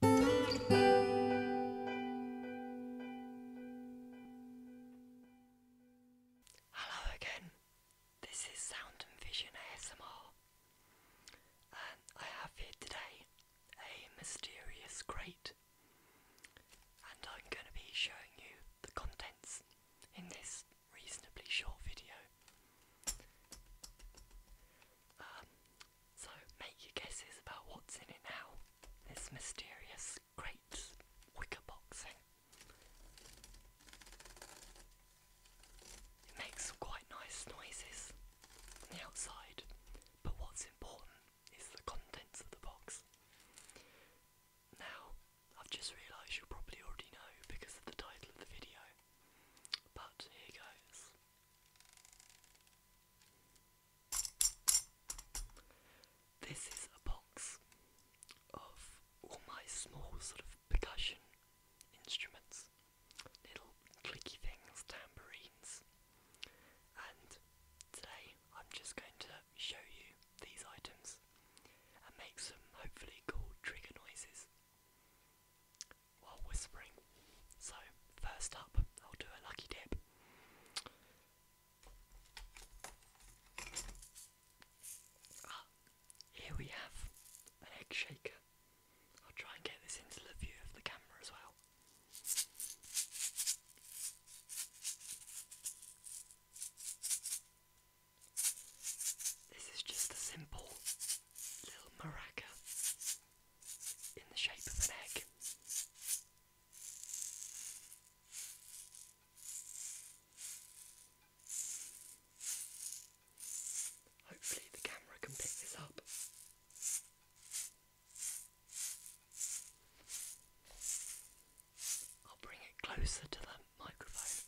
Hello again, this is Sound and Vision ASMR, and I have here today a mysterious crate, and I'm going to be showing you the contents in this reasonably short video. Um, so make your guesses about what's in it now. This mysterious great wicker box It makes quite nice noises on the outside, but what's important is the contents of the box. Now, I've just realised you probably already know because of the title of the video, but here goes. This is a box of all my small sort of percussion instruments, little clicky things, tambourines, and today I'm just going to show you these items and make some hopefully cool trigger noises while whispering. So, first up, I'll do a lucky dip. Ah, here we have an egg shaker. I'll try and get this into the view of the camera as well. This is just a simple little maraca in the shape of an egg. Hopefully, the camera can pick this up. I'll bring it closer to the microphone.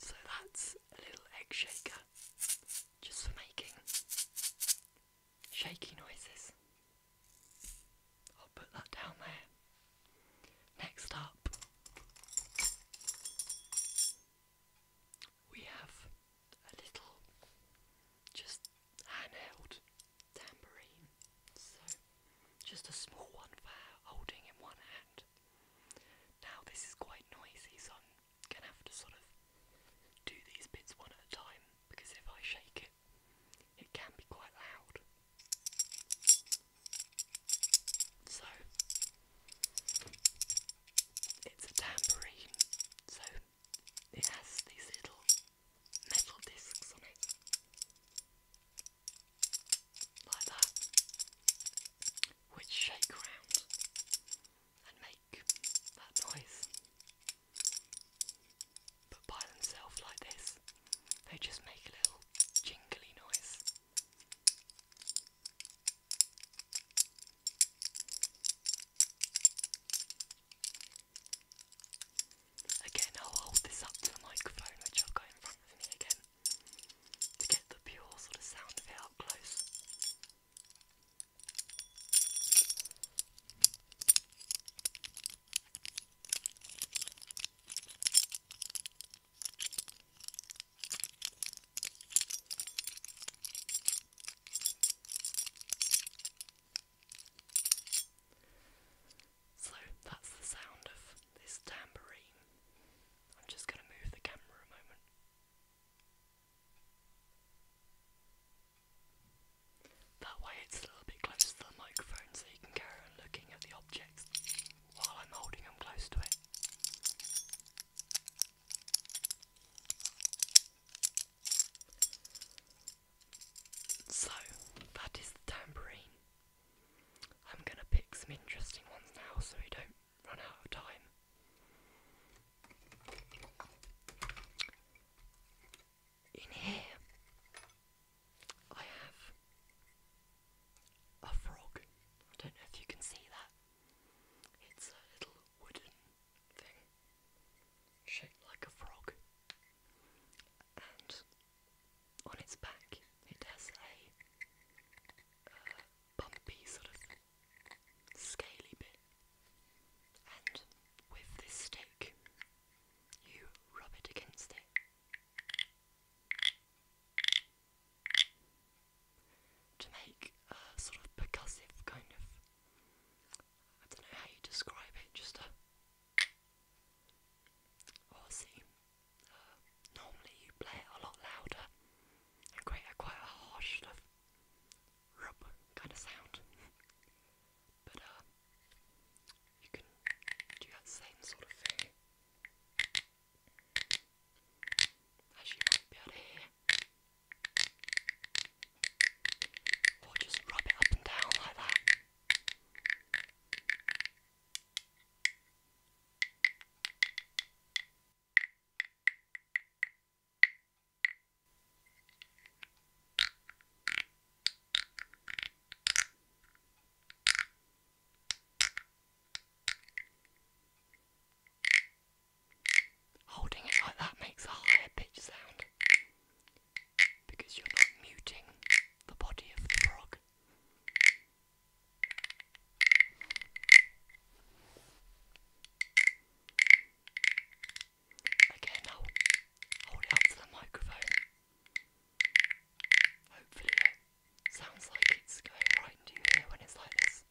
So that's a little egg shaker just for making shaky noises. I'll put that down there. Next up, we have a little just handheld tambourine, so just a small one for holding in one hand. Now, this is quite noisy, so I'm gonna have to sort of do these bits one at a time because if I shake it, it can be quite loud. So it's a tambourine, so it has these little metal discs on it. Like that, which shake around and make that noise. But by themselves, like this, they just make a little jingly noise. Again, I'll hold this up to the microphone, which I'll go in front of me again to get the pure sort of sound of it up close. So that's the sound of this tambourine. I'm just going to move the camera a moment. That way it's a little bit closer to the microphone so you can carry on looking at the objects while I'm holding them close to it. So, that is the tambourine. I'm going to pick some interesting ones now so we don't run out of time in here I have a frog. I don't know if you can see that. It's a little wooden thing shaped like a frog. And on its back it has a uh, bumpy sort of scaly bit. And with this stick you rub it against it. To make a sort of percussive kind of. I don't know how you describe it, just a. Or uh, normally you play it a lot louder and create quite a harsh sort of rub kind of sound. but uh, you can do that same sort of thing as you might be able to hear. Or just rub it up and down like that. Holding it like that makes a higher pitch sound because you're not muting the body of the frog. Again, I'll hold it up to the microphone. Hopefully, it sounds like it's going right into your ear when it's like this.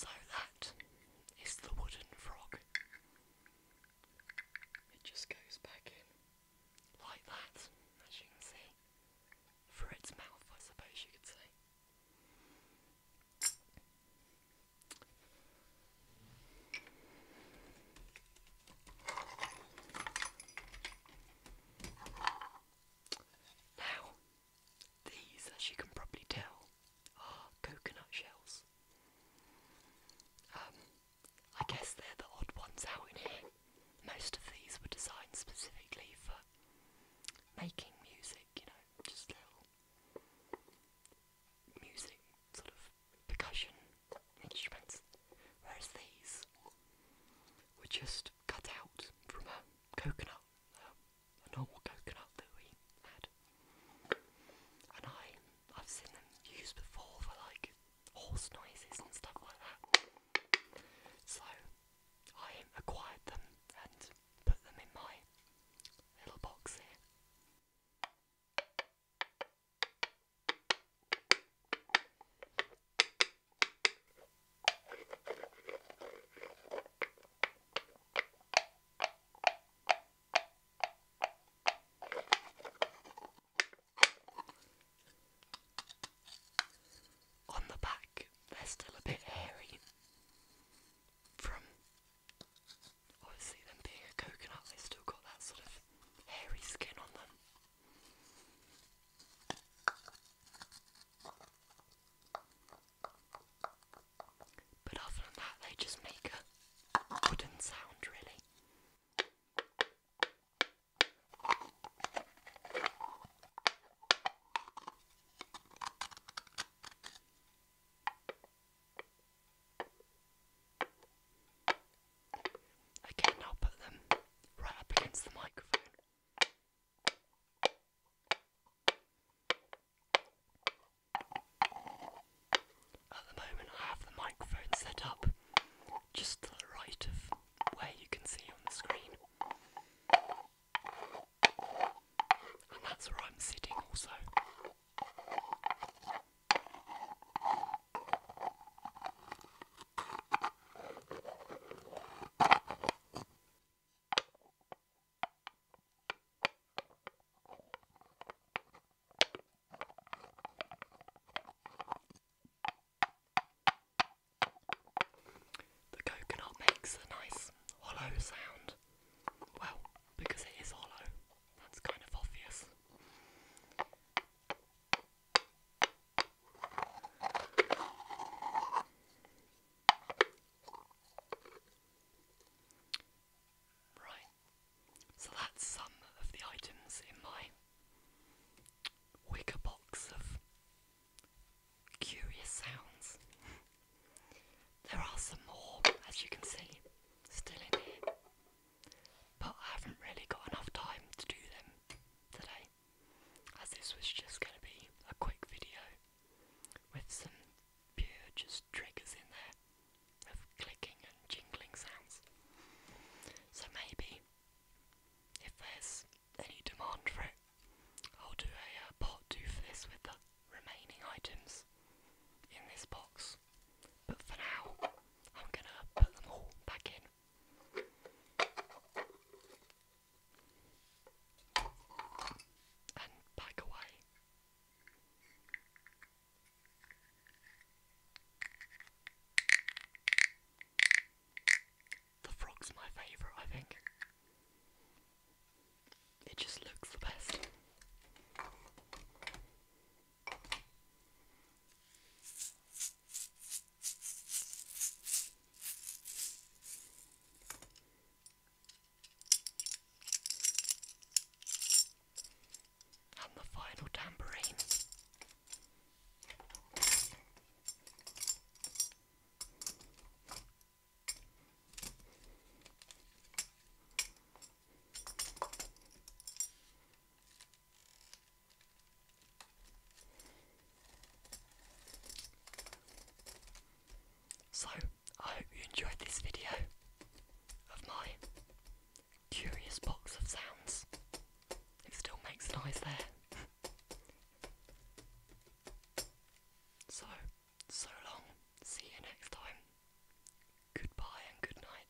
So that is the wooden frog. It just goes back in like that, as you can see, through its mouth, I suppose you could say. Now, these, as you can probably tell, are coconut shells. Um, I guess they're the odd ones out in here. Most of these were designed specifically for making music, you know, just little music, sort of percussion instruments, whereas these were just cut out from a coconut, a normal coconut that we had. And I, I've seen them used before for like horse noises and stuff like that. So I acquired them and put them in my little box here. On the back, they're still a bit hairy from obviously them being a coconut, they still got that sort of hairy skin on them. But other than that, they just make a wooden sound, really. Again, I'll put them right up against the microphone. At the moment, I have the microphone set up just to the right of where you can see on the screen. And that's where I'm sitting also. The coconut makes a nice hollow sound. Well, because it is hollow, that's kind of obvious. Right, so that's some of the items in my wicker box of curious sounds. there are some more, as you can see, still in here, but I haven't really got enough time to do them today, as this was just going to be a quick video with some pure just triggers in there of clicking and jingling sounds. So maybe if there's any demand for it, I'll do a uh, part two for this with the remaining items in this box. But for now, I'm gonna put them all back in. And back away. The frog's my favourite, I think. It just looks the best. And the final tambourine. So, I hope you enjoyed this video of my curious box of sounds. It still makes noise there. so, so long. See you next time. Goodbye and good night.